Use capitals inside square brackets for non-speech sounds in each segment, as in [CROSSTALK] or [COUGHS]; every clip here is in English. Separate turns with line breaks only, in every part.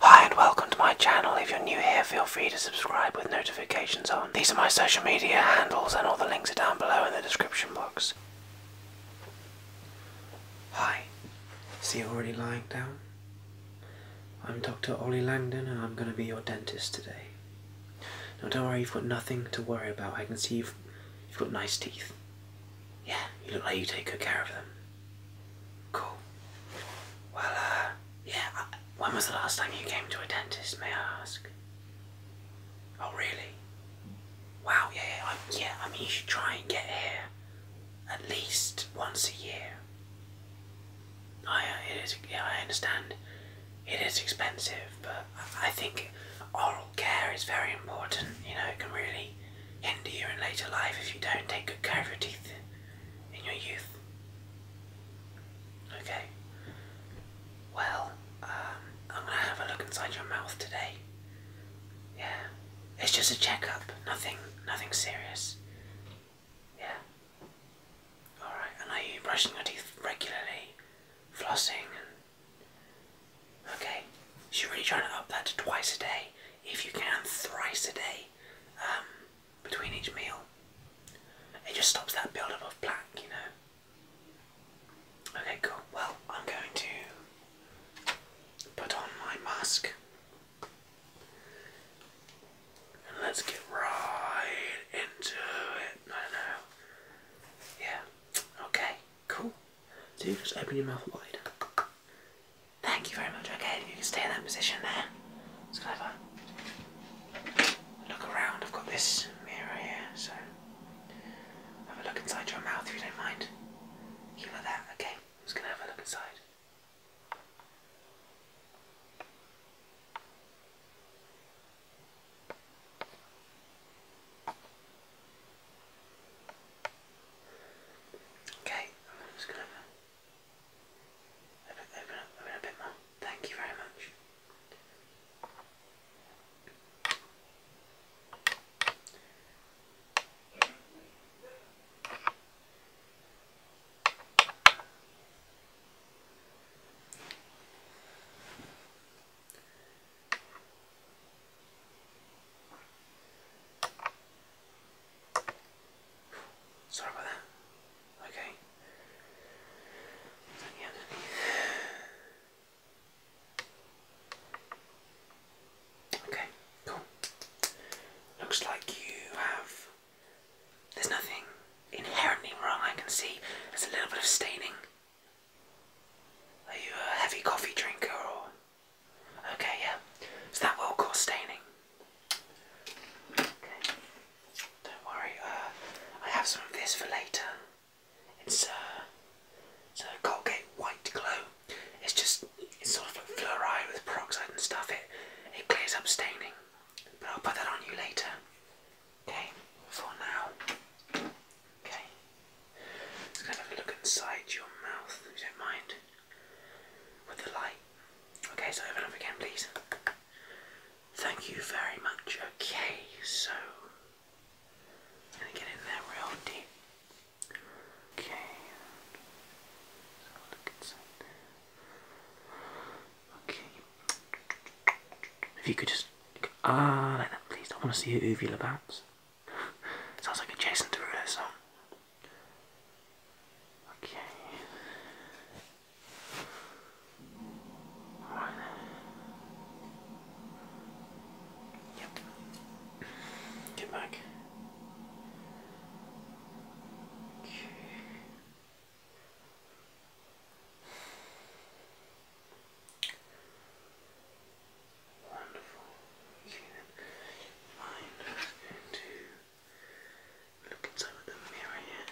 Hi and welcome to my channel. If you're new here, feel free to subscribe with notifications on. These are my social media handles and all the links are down below in the description box. Hi. Is he already lying down? I'm Dr. Ollie Langdon and I'm going to be your dentist today. Now don't worry, you've got nothing to worry about. I can see you've, you've got nice teeth. Yeah, you look like you take good care of them. Cool. Well, uh, yeah, when was the last time you came to a dentist, may I ask? Oh, really? Wow, yeah, yeah, I, mean, you should try and get here at least once a year. I, uh, it is, yeah, I understand it is expensive, but I, I think oral care is very important. You know, it can really hinder you in later life if you don't take good care of your teeth in your youth. Okay. Well, um, I'm gonna have a look inside your mouth today. Yeah. It's just a checkup. Nothing, nothing serious. Yeah. All right. And are you brushing your teeth regularly, flossing, and okay? You're really trying to up that to twice a day, if you can, thrice a day. Um, between each meal. It just stops that buildup of plaque, you know. Okay, cool. Well, I'm going to put on my mask. And let's get right into it. I don't know. Yeah. Okay, cool. So you just open your mouth wide. Thank you very much. Okay, you can stay in that position there. It's clever. look around. I've got this mirror here, so have a look inside your mouth if you don't mind. You like that, okay? I'm gonna have a look inside. Okay, I'm just gonna open, up a bit more. Thank you very much. Sorry about that. Okay. Okay, cool. Looks like you have. There's nothing inherently wrong. I can see there's a little bit of staining. Are you a heavy coffee drinker or? Okay, yeah. So that will cause staining. Don't worry. Uh, I have some of this for later. Uh, it's a Colgate White Glow. It's just it's sort of like fluoride with peroxide and stuff. It it clears up staining. But I'll put that on you later. Okay. For now. Okay. Let's kind of look inside your mouth. you don't mind with the light. Okay, so open up again, please. Thank you very much. Okay, so gonna get in there real deep. Okay. let look inside Okay. If you could just ah like that, please. I want to see your uvula bounce. Sounds like a Jason Derulo song. Okay. Right. Yep. Get back. Okay. Wonderful. You can then find into a the mirror here.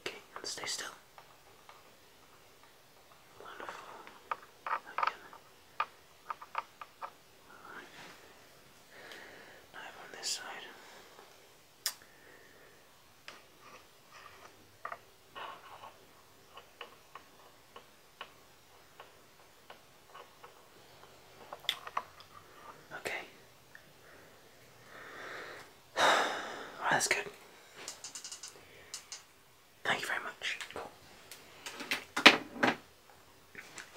Okay, stay still. Wonderful. Okay. Alright. Now on this side. Okay. [SIGHS] that's good. Thank you very much.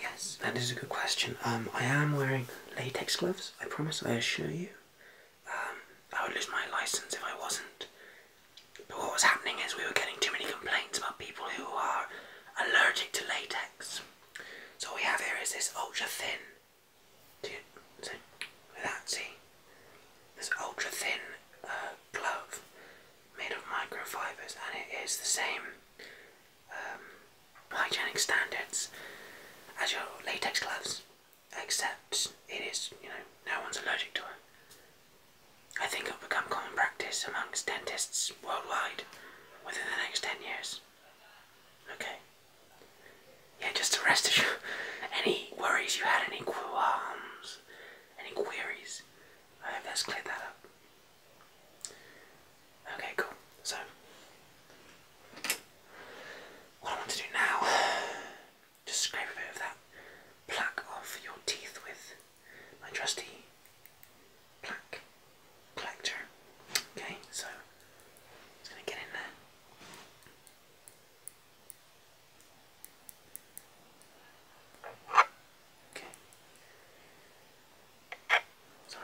Yes, that is a good question. Um, I am wearing latex gloves, I promise, I assure you. Um, I would lose my license if I wasn't. But what was happening is we were getting too many complaints about people who are allergic to latex. So what we have here is this ultra thin. Do see? This ultra thin uh, glove made of microfibers, and it is the same um, hygienic standards as your latex gloves except it is, you know, no one's allergic to it. I think it'll become common practice amongst dentists worldwide within the next 10 years. Okay. Yeah, just to rest assured, [LAUGHS] any worries you had, any qualms, any queries, I hope that's cleared that up. Okay, cool. So, what I want to do now just scrape a bit of that Pluck off your teeth with my trusty pluck collector. Okay, so it's going to get in there. Okay. Sorry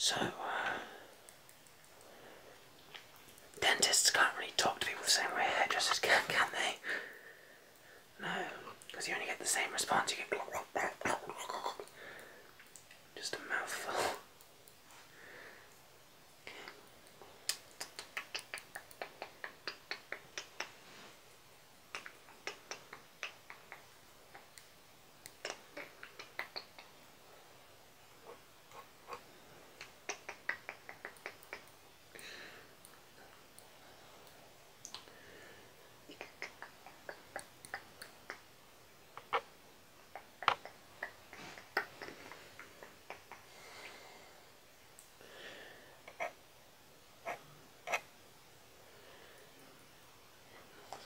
So, uh, dentists can't really talk to people the same way hairdressers can, can they? No, because you only get the same response. You get just a mouthful.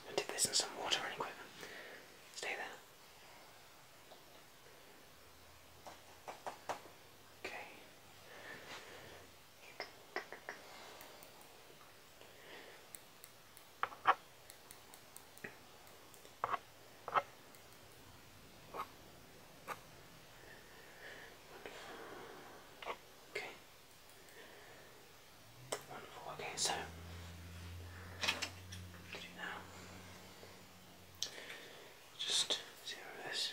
I'm dip this in some water really quick. Stay there. Okay. Okay. Wonderful. Okay, so now. Just zero this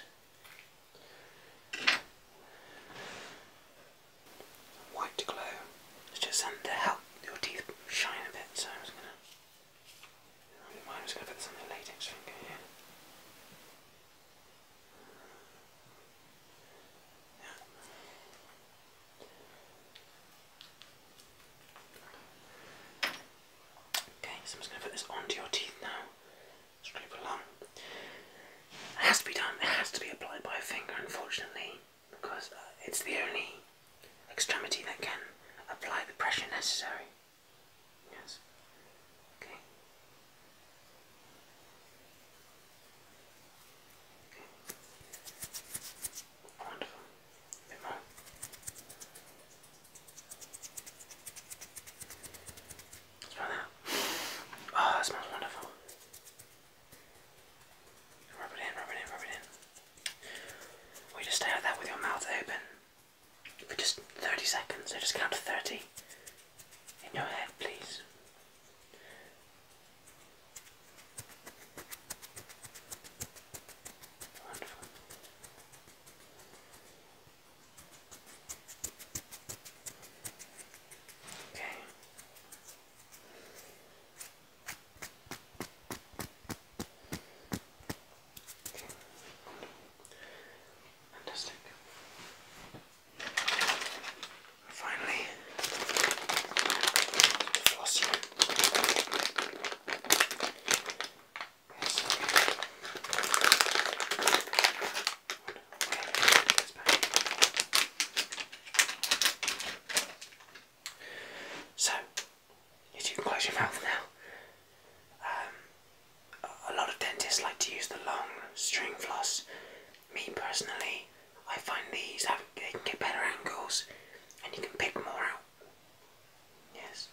White glow. It's just something to help your teeth shine a bit, so I'm just gonna I'm just gonna put this on the latex finger here. Okay, so I'm just going to put this onto your teeth now scrape along. It has to be done, it has to be applied by a finger, unfortunately, because uh, it's the only extremity that can apply the pressure necessary. Yes. Okay. Wonderful. bit more. Smell that. Oh, that smells wonderful. Rub it in, rub it in, rub it in. We just stay like that with your mouth open for just 30 seconds. So just count to 30 in your head, please. Wonderful. Okay. Okay. Fantastic. Finally, floss here. So, you do close your mouth now. Um, a lot of dentists like to use the long string floss. Me personally, I find these have they can get better angles, and you can pick more out Yes.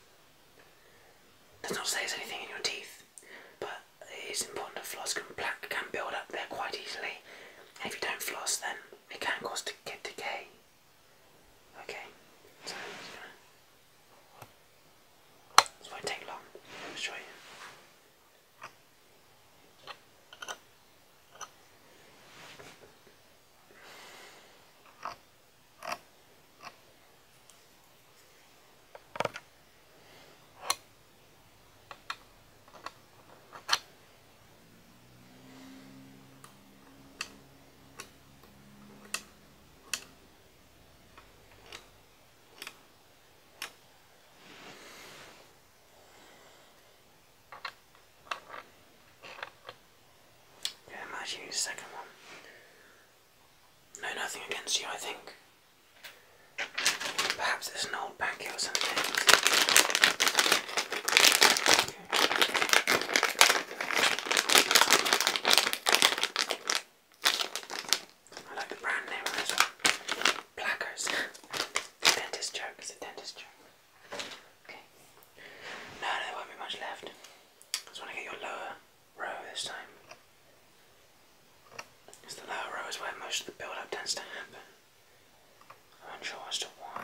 Does not say there's anything in your teeth, but it is important to floss. black can build up there quite easily, if you don't floss, then it can cause to get decay. Okay, so i take long. Let me show you. Yeah, imagine the second one. No, nothing against you, I think. Perhaps it's an old packet or something. I like the brand name Plackers. dentist joke, it's a dentist joke. Okay. No, no, there won't be much left. just want to get your lower row this time. Because the lower row is where most of the build up tends to happen. I'm not sure as to why.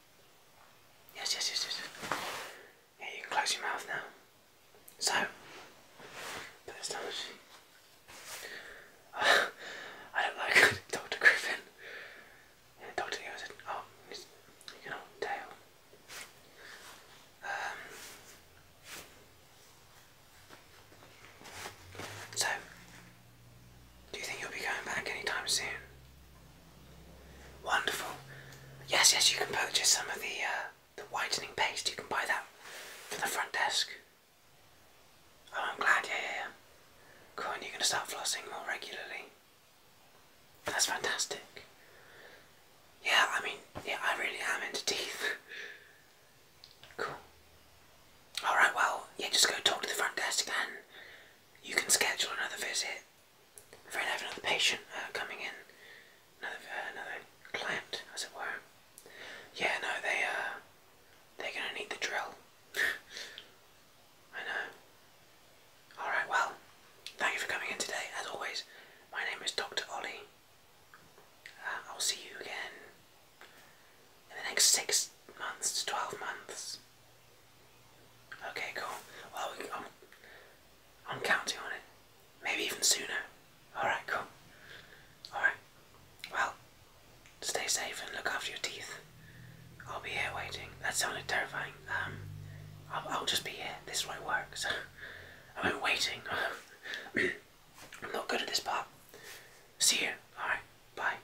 Yes, yes, yes, yes. Yeah, you can close your mouth now. So, put this down. Uh, [LAUGHS] I don't like [LAUGHS] Dr. Griffin. Yeah, Dr. He was a, oh, he's, you know, tail. Um, so, do you think you'll be going back anytime soon? Wonderful. Yes, yes, you can purchase some of the uh, the whitening paste. You can buy that from the front desk. Oh, I'm glad. Yeah, yeah, yeah. Cool, and you're going to start flossing more regularly. That's fantastic. Yeah, I mean, yeah, I really am into teeth. [LAUGHS] cool. Alright, well, yeah, just go talk to the front desk again you can schedule another visit for have another patient uh, coming in, another uh, another client, as it were. Yeah, no, they uh, they're gonna need the drill. I know. All right, well, thank you for coming in today. As always, my name is Doctor Ollie. I'll see you again in the next six months to twelve months. Okay, cool. Well, we, I'm, I'm counting on it. Maybe even sooner. Alright, cool. Alright. Well, stay safe and look after your teeth. I'll be here waiting. That sounded terrifying. Um, I'll, just be here. This is where I work, [LAUGHS] I've been waiting. [COUGHS] I'm not good at this part. See you. Alright, bye.